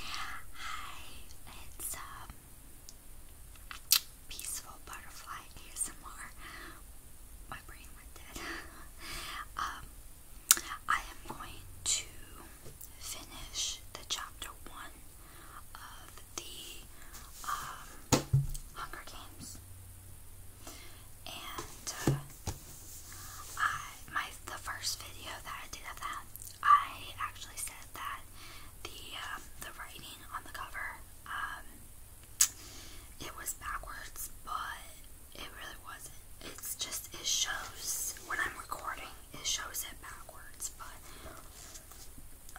Hi, it's um Peaceful Butterfly ASMR. My brain went dead. um I am going to finish the chapter one of the um, Hunger Games. And uh, I, my the first video that I did of that, I actually said that the um, the writing on the cover, um, it was backwards, but it really wasn't. It's just it shows when I'm recording, it shows it backwards, but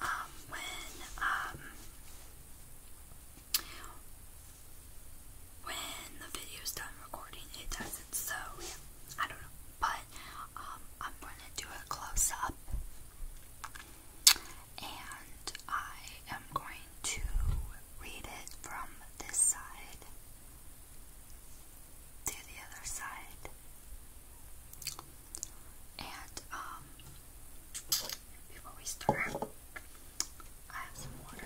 um, when um. When the video's done recording, it doesn't. So yeah, I don't know but um, I'm gonna do a close up and I am going to read it from this side to the other side. And um, before we start, I have some water.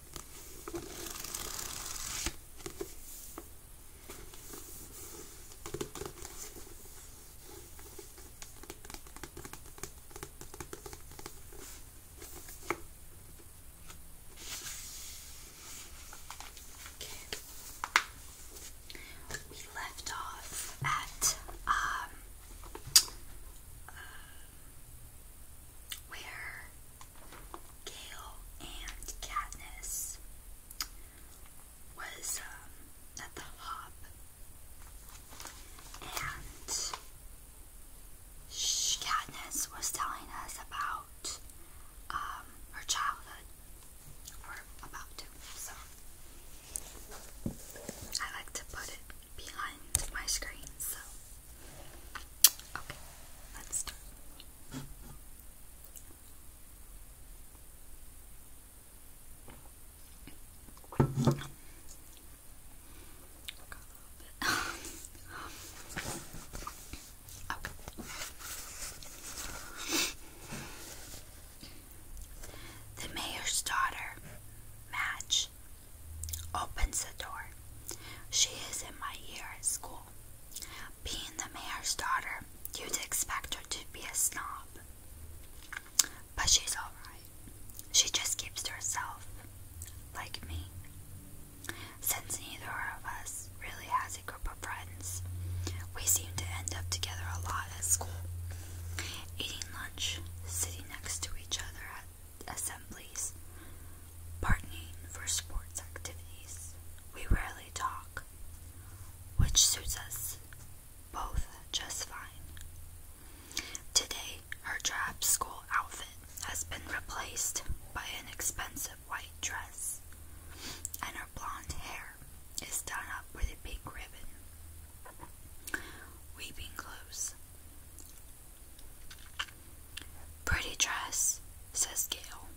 Okay. We left off at um uh, where Gale and Katniss was um, at the hop, and Katniss was telling us about um, her childhood, or about to. So I like to put it behind my screen, so okay, let's start. The mayor's daughter, Madge, Opens the door. She is in my year at school. Being the mayor's daughter, you'd expect her to be a snob. But she's alright. She just keeps to herself, like me. Since neither of us really has a group of friends, we seem to end up together a lot at school, eating lunch, sitting next to each other at assemblies, partnering for sports activities. We rarely talk, which suits us both just fine. Today, her drab school outfit has been replaced by an expensive white dress, and her blonde hair is done up with a pink ribbon. Weeping close. Pretty dress, says Gail.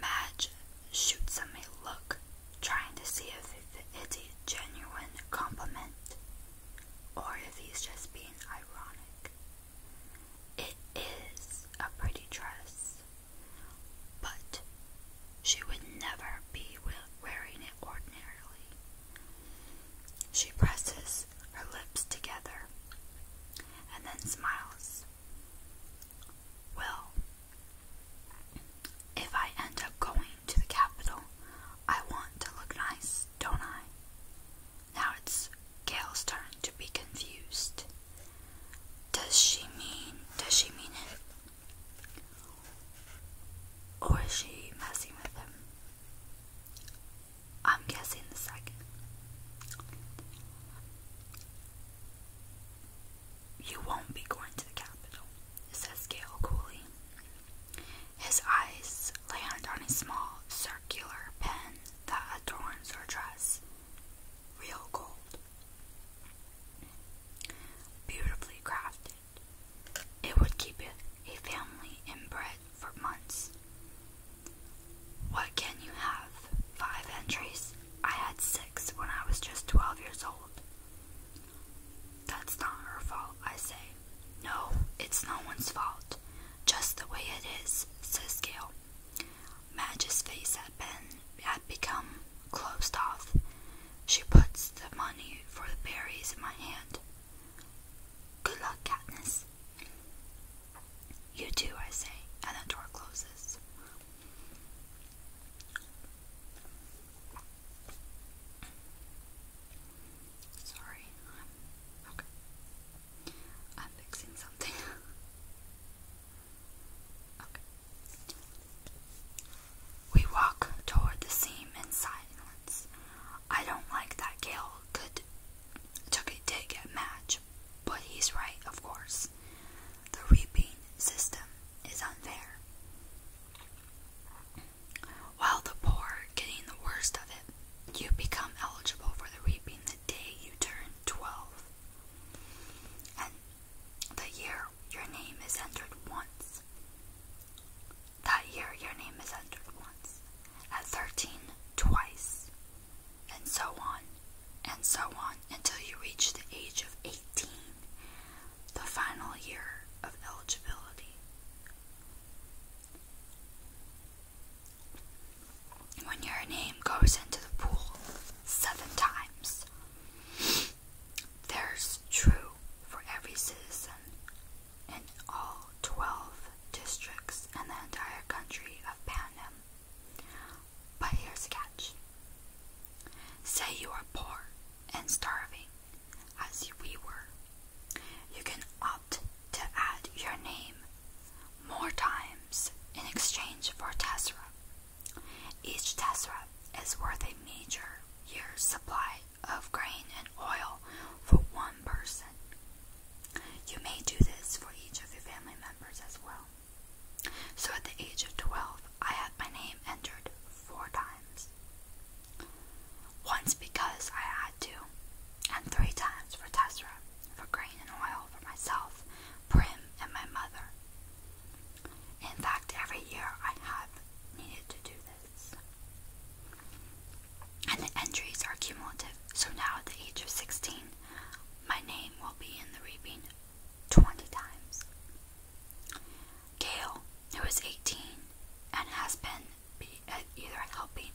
Madge shoots him a look, trying to see if it's a genuine compliment or if he's just being ironic. It is a pretty dress, but she would never be wearing it ordinarily. She presses her lips together and then smiles. Well, if I end up going to the capital, I want to look nice, don't I? Now it's Gail's turn to be confused. Does she mean, does she mean it? Or is she messing with him? I'm guessing the second. You won't be going to the Capitol, says Gale coolly. His eyes land on a small circular pen that adorns her dress. Real gold. Beautifully crafted. It would keep a family in bread for months. What can you have? Five entries? I had six when I was just 12 years old. That's not her fault, I say. No, it's no one's fault. Just the way it is, says Gail. Madge's face had been had become closed off. She puts the money for the berries in my hand. Good luck, Katniss. You too, I say, and the door closes. Sorry, I'm fixing something. We walk toward the seam in silence. I don't like that Gale could took a dig at Madge, but he's right, of course. The reaping system is unfair. While the poor are getting the worst of it, you become eligible for the reaping the day you turn 12. And the year your name is entered once. That year, your name is entered once, at 13, twice, and so on, and so on, until you reach the age of 18, the final year of eligibility. When your name goes into the pool seven times, there's true for every citizen in all 12 districts in the entire country of Panem. But here's a catch. Say you are poor and starving, as we were. You can opt to add your name more times in exchange for Tessera. Each Tessera is worth a major year's supply of grain and oil for one person. You may do this for each of your family members as well. So at the age of 12, I had my name entered four times. Once because I had to, and three times for Tessera, for grain and oil for myself, Prim, and my mother. In fact, every year I have needed to do this. And the entries are cumulative, so now at the age of 16, my name will be in the reaping 20 times. Gail, who is 18 and has been uh, either helping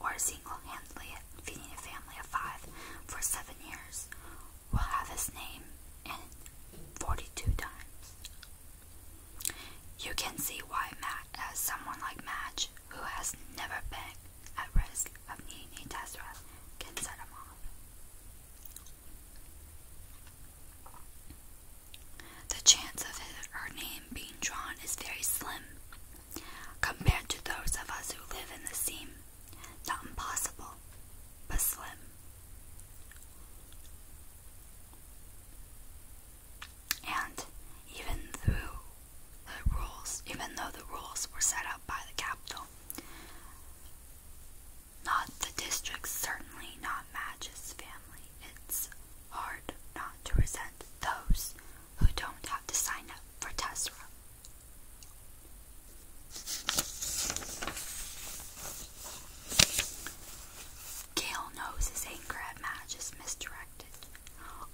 or single handedly feeding a family of five for seven years, will have his name in 42 times. You can see why Matt, as someone like Madge, who has never been at risk of needing a test run, can set him off. The chance of her name being drawn is very slim compared to those of us who live in the seam. Not impossible, but slim. And even through the rules, even though the rules were set up by the capital, not the district certainly not Madge's family. It's hard not to resent those who don't have to sign up for Tesra. Gale knows his anger at Madge is misdirected.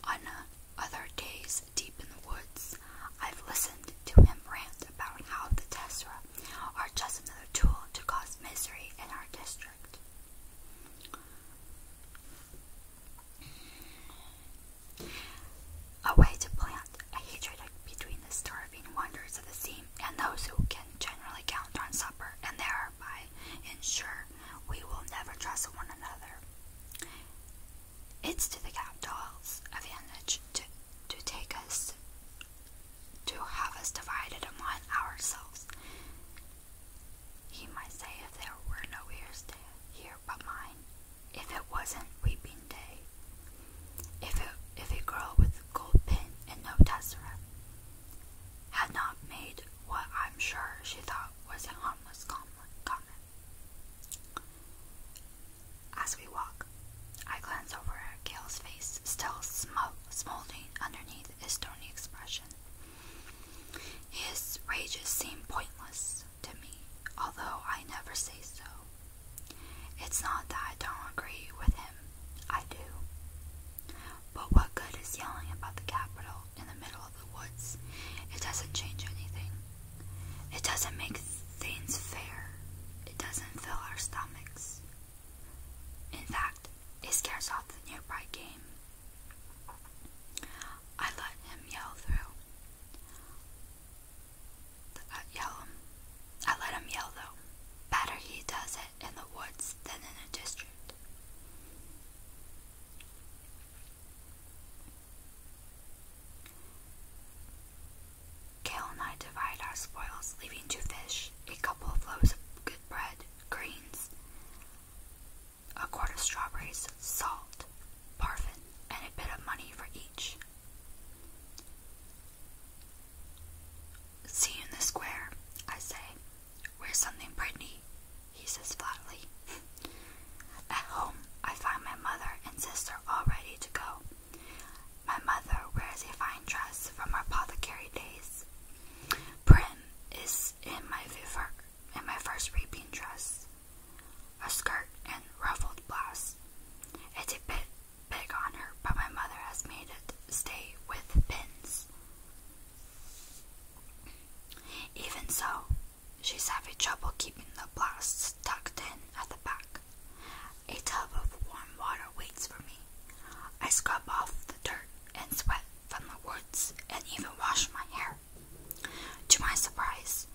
On uh, other days deep in the woods, I've listened to him rant about how the Tessera are just another tool to cause misery in our district. A way to plant a hatred between the starving wanderers the team and those who can generally count on supper and thereby ensure we will never trust one another. It's to the cap capital's advantage to, to take us to have us divided among ourselves. He might say if there were no ears there here but mine, if it wasn't weeping day, if it, if a girl with a gold pin and no tessera, had not made what I'm sure she thought was a harmless comment. As we walk, I glance over at Gail's face, still smoldering underneath his stony expression. His rages seem pointless to me, although I never say so. It's not that I don't agree with him, I do. But what good is yelling about the Capitol in the middle of the woods? It doesn't change anything. It doesn't make things fair. It doesn't fill our stomachs. In fact, it scares off the nearby game. I let him yell through. Uh, yell him. I let him yell though. Better he does in the woods than in a district. Kale and I divide our spoils, leaving two fish, a couple of loaves of good bread, greens, a quart of strawberries, salt, parfum, and a bit of money for each. See you in the square, I say. Where's something pretty? He says flatly. At home, I find my mother and sister all ready to go. My mother wears a fine dress from her apothecary days. Prim is in my favor, in my first reaping dress, a skirt and ruffled blouse. It's a bit big on her, but my mother has made it stay with pins. Even so, she's having trouble keeping the blasts tucked in at the back. A tub of warm water waits for me. I scrub off the dirt and sweat from the woods and even wash my hair. To my surprise,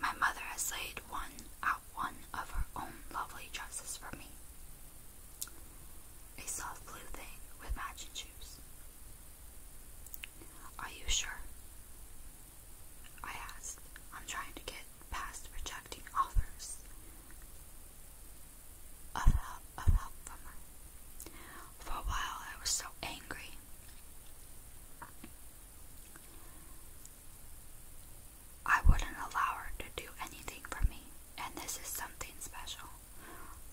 my mother has laid one out one of her own lovely dresses for me. A soft blue thing with matching shoes. Are you sure? I asked. I'm trying to get past rejecting offers of help, of help from her. For a while, I was so angry. I wouldn't allow her to do anything for me, and this is something special.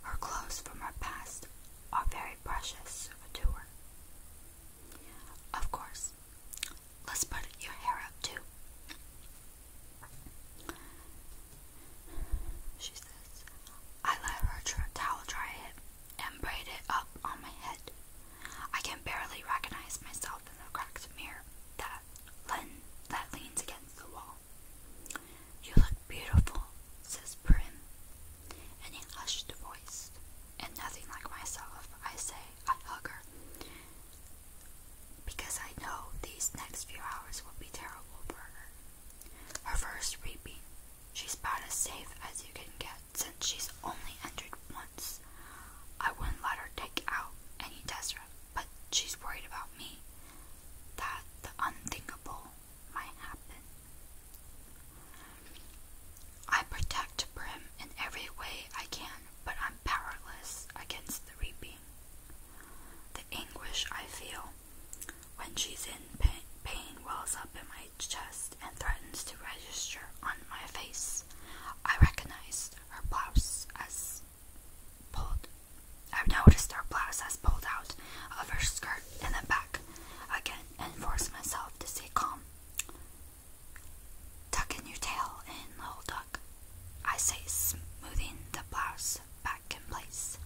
Her clothes from her past are very precious to her. Of course, let's put your hair up too. She says, I let her towel dry it and braid it up on my head. I can barely recognize myself in the cracked mirror that that, len that leans against the wall. You look beautiful, says Prim, in a hushed voice. And nothing like myself, I say, I hug her. Because I know these next few hours will be terrible for her. Her first reaping, she's about as safe as you can get since she's only entered once. I wouldn't let her take out any desert but she's worried about me that the unthinkable might happen. I protect Brim in every way I can, but I'm powerless against the reaping. The anguish I feel when she's in pain, wells up in my chest and threatens to register on my face. I recognized her blouse as I've noticed her blouse has pulled out of her skirt in the back again and forced myself to stay calm. Tuck in your tail in, little duck, I say, smoothing the blouse back in place.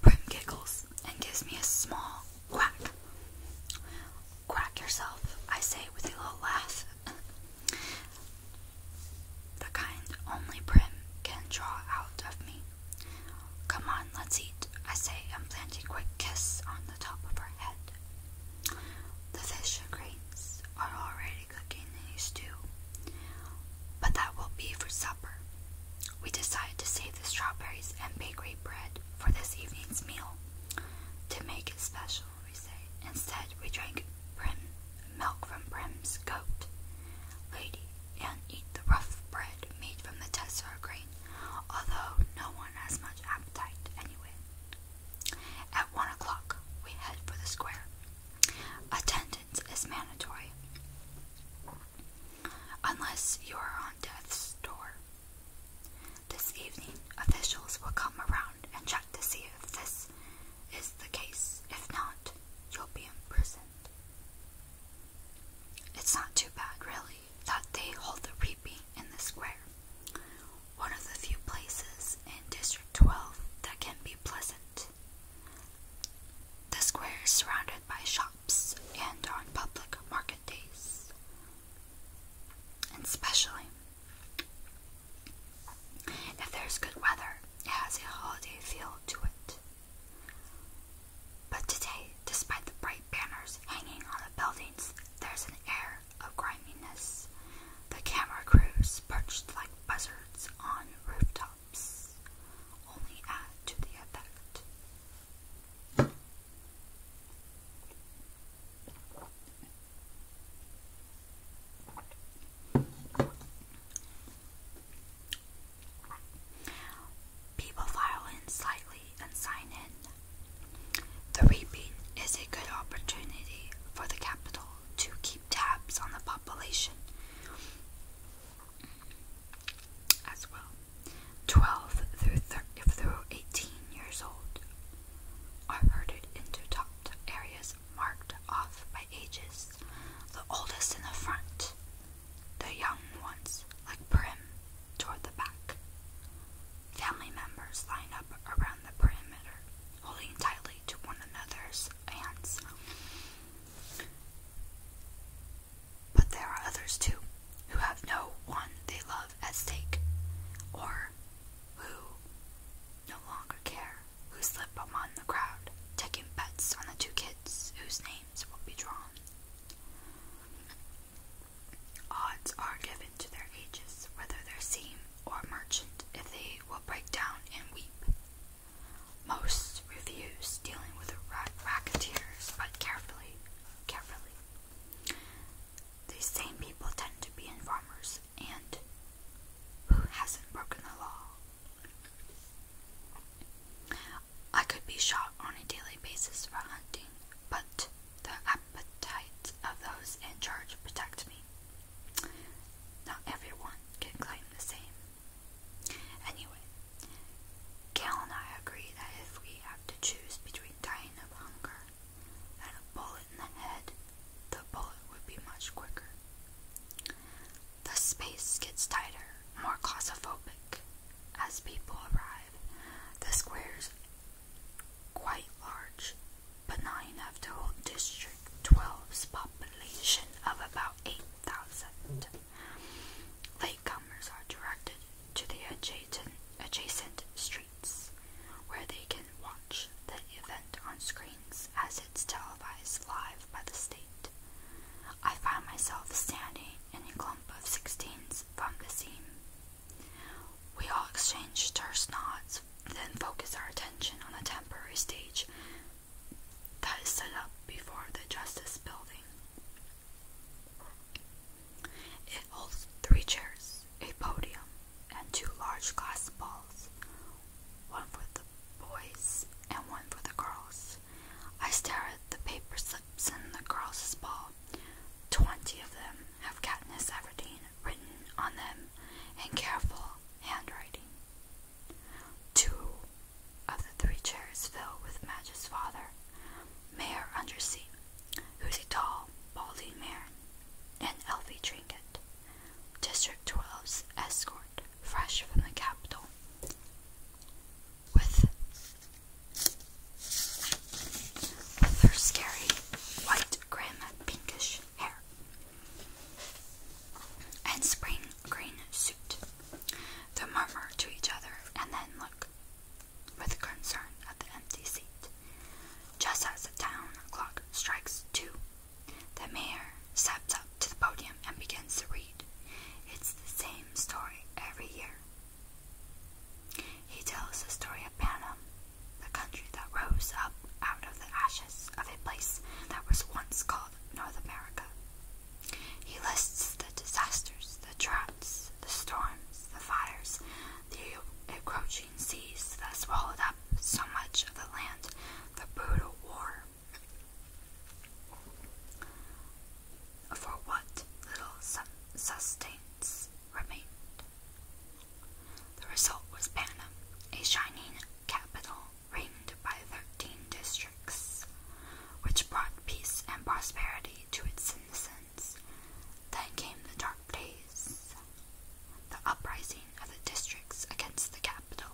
Prim giggles and gives me a small quack. Quack yourself, I say with a little laugh. the kind only Prim can draw out of me. Come on, let's eat, I say, and plant a quick kiss on the top of her head. The fish and greens are already cooking in a stew, but that will be for supper. We decided to save the strawberries and bakery bread for this evening's meal. To make it special, we say. Instead, we drank brim, milk from Prim's goat, lady, and eat the rough bread made from the tessar grain, although no one has much appetite anyway. At one o'clock, we head for the square. Attendance is mandatory unless you are on death's door. This evening, officials will come around and check to see if this is the case. If not, you'll be imprisoned. It's not too bad, really, that they hold the reaping in the square, one of the few places in District 12 that can be pleasant. The square is surrounded by shops and on public market days, and especially if there's good weather, it has a holiday feel to it. But today, despite the bright banners hanging on the buildings, there's an air of griminess. The camera crews perched like buzzards on rooftops only add to the effect. People file in slightly and sign in. The reaping is a good opportunity for the capital to keep tabs on the population as well. 12 through, through 18 years old are herded into topped areas marked off by ages, the oldest in the front, the young ones, like Prim, toward the back. Family members line up around the perimeter, holding tightly to one another's hands. But there are others too who have no one they love at stake, or who no longer care, who slip among the crowd, taking bets on the two kids whose names will be drawn. Odds are given to their ages, whether they're seam or merchant, if they will break down and weep. Most reviews dealing with racketeers, but carefully, carefully. These same people tend to be informers, and who hasn't broken the law? I could be shot on a daily basis for hunting, but the appetite of those in charge protect me. Not everyone can claim the same. Anyway, Cal and I agree that if we have to choose between dying of hunger and a bullet in the head, the bullet would be much quicker. The space gets tighter, more claustrophobic. As people arrive, the square's quite large, but not enough to hold District 12's population of about 8,000. Latecomers are directed to the adjacent, streets, where they can watch the event on screens as it's televised live by the state. I find myself standing in a clump of sixteens from the scene. We all exchange terse nods, then focus our attention on the temporary stage that is set up before the Justice Building. It holds three chairs, a podium, and two large glass balls, one for the boys and one for the girls. I stare at the paper slips in the girls' ball. Twenty of them have Katniss Everdeen written on them in careful handwriting. Two of the three chairs fill with Madge's father, Mayor Undersea, who's a tall, balding man, and Elfie Trinket, District 12's escort, fresh from the capital. With, with her scary, white, grim, pinkish hair and spring green suit. They murmur to each other and then look with concern at the empty seat. Just as the town clock strikes two, the mayor steps up to the podium and begins to read. It's the same story every year. He tells the story of Panama, the country that rose up out of the ashes of a place that was once called North America. He lists the disasters, the droughts, the storms, the fires, the encroaching seas that swallowed up so much of the land, the brutal war. For what little sustenance remained. The result was Panem, a shining capital reigned by thirteen districts, which brought peace and prosperity to its citizens. Then came the dark days, the uprising of the districts against the capital.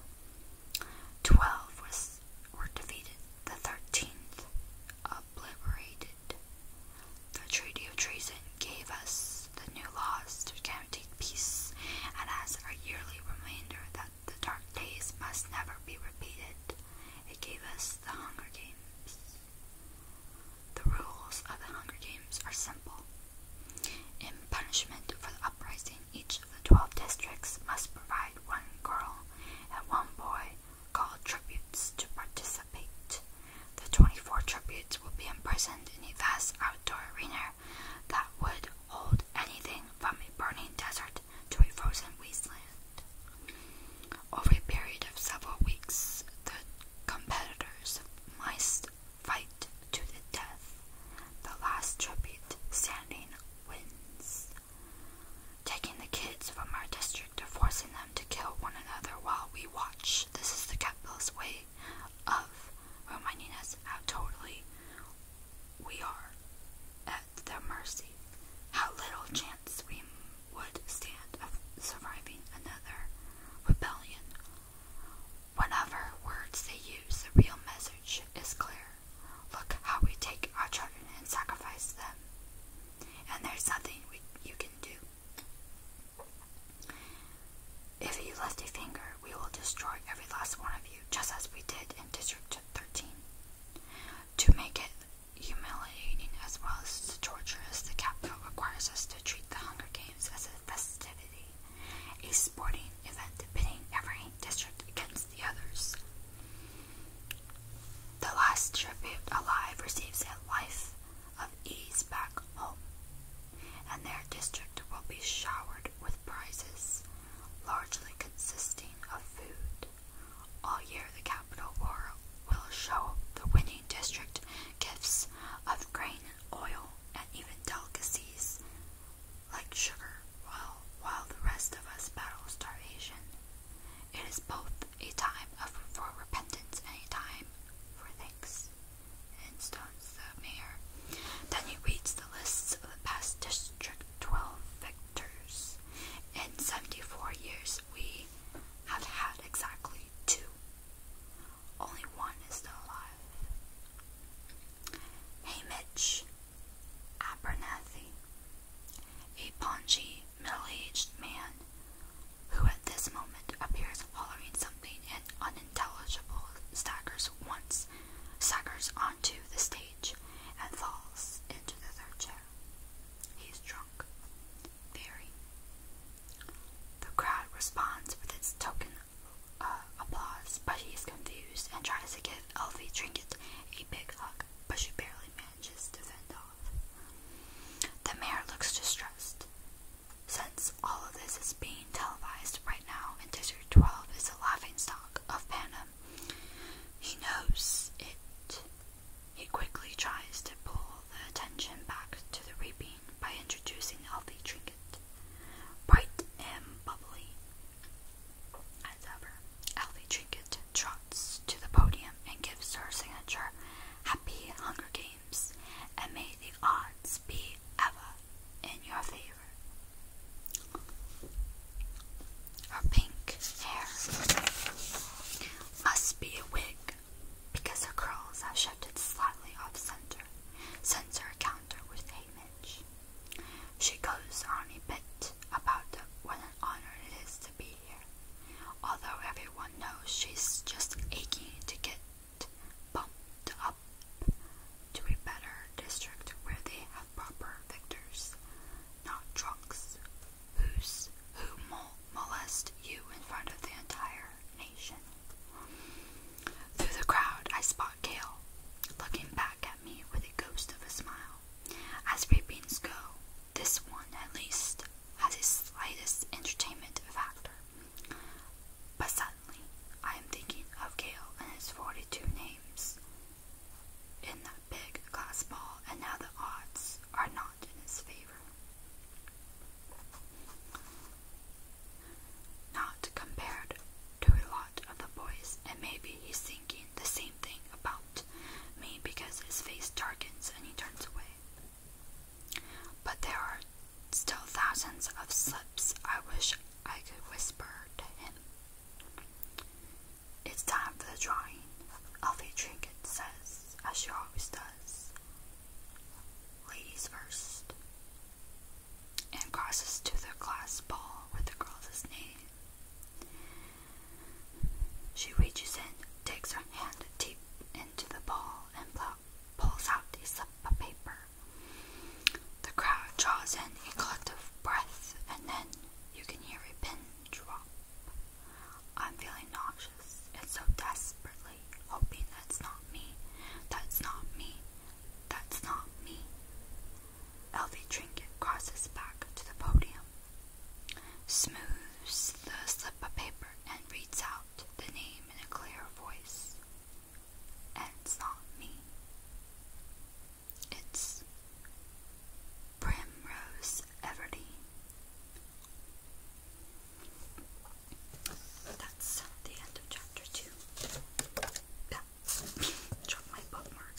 Twelve was, were defeated, the thirteenth obliterated. The Treaty of Treason gave us the new laws to guarantee peace and as a yearly reminder that the dark days must never be repeated. It gave us the Hunger Games. The rules of the Hunger Games are simple. In punishment for the uprising, each of the 12 districts must provide one girl and one boy called tributes to participate. The 24 tributes will be imprisoned in a vast outdoor arena that would hold anything from a burning desert to a frozen wasteland. Over a period of several weeks, the competitors must fight to the death. The last tribute standing wins. Taking the kids from our district and forcing them to kill one another while we watch. This is the capitalist way of reminding us how totally we are at their mercy. How little chance we would stand of surviving another rebellion. Whenever words they use, the real message is clear. Look how we take our children and sacrifice them. And there's nothing you can do. If you lift a finger, we will destroy every last one of you, just as we did in District 13. To make it humiliating as well as torturous, the Capitol requires us to treat the Hunger Games as a festivity, a sporting event pitting every district against the others. The last tribute alive receives a life of ease back home, and their district will be showered with prizes largely consisting of food. All year, the Capital War will show the winning district gifts of grain and oil and even delicacies like sugar, while, while the rest of us battle starvation. It is both a time of, for repentance and a time for thanks. And stones the mayor. Then he reads the list of the past District 12 victors. In 74 years, we have had exactly two. Only one is still alive. Hamish Abernathy, a paunchy, middle-aged man who at this moment appears hollering something and unintelligible staggers once, staggers on to the stage and falls into the third chair. He's drunk. Very. The crowd responds with its token uh, applause, but he's confused and tries to give Elfie Trinket a big hug, but she barely manages to fend off. The mayor looks distressed. Since all of this is being televised right now, and District 12 is a laughingstock of Panem. He knows it. He quickly tries to pull the attention back to the reaping by introducing Elfie Trinket. Bright and bubbly as ever, Elfie Trinket trots to the podium and gives her signature Happy Hunger Games, and may the odds be ever in your favor. Her pink hair must be a wig because her curls have shifted slightly off center since her encounter with Hamish. She goes on a bit about what an honor it is to be here, although everyone knows she's just aching to get bumped up to a better district where they have proper victors, not drunks, who's, who molest you in front of the entire nation. Through the crowd, I spot Kale, looking back at me with a ghost of a smile. As reapings go, this one at least has a slightest entertainment factor. But suddenly, I am thinking of Gail and his 42 names in that big glass ball, and now the odds are not in his favor. Not compared to a lot of the boys, and maybe he's thinking the same thing about me because his face darkens and he turns away. But there are still thousands of slips I wish I could whisper to him. It's time for the drawing, Elfie Trinket says, as she always does. Ladies first. And crosses to the glass ball with the girl's name. She reaches in, takes her hand deep into the ball, and pulls out a slip of paper. The crowd draws in a collective breath, and then you can hear a pin drop. I'm feeling nauseous and so desperately hoping that's not me. That's not me. That's not me. Elvie Trinket crosses back to the podium, smooths the slip of paper, and reads out the name in a clear voice. It's not me. It's Primrose Everdeen. That's the end of chapter two. Yeah. Drop my bookmark.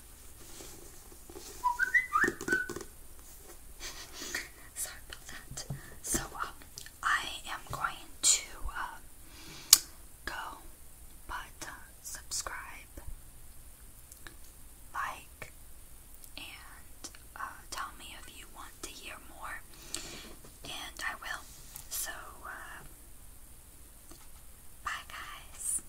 Sorry about that. So, um, I am going to uh, go, but uh, subscribe, like, and uh, tell me if you want to hear more, and I will. So, uh, bye, guys.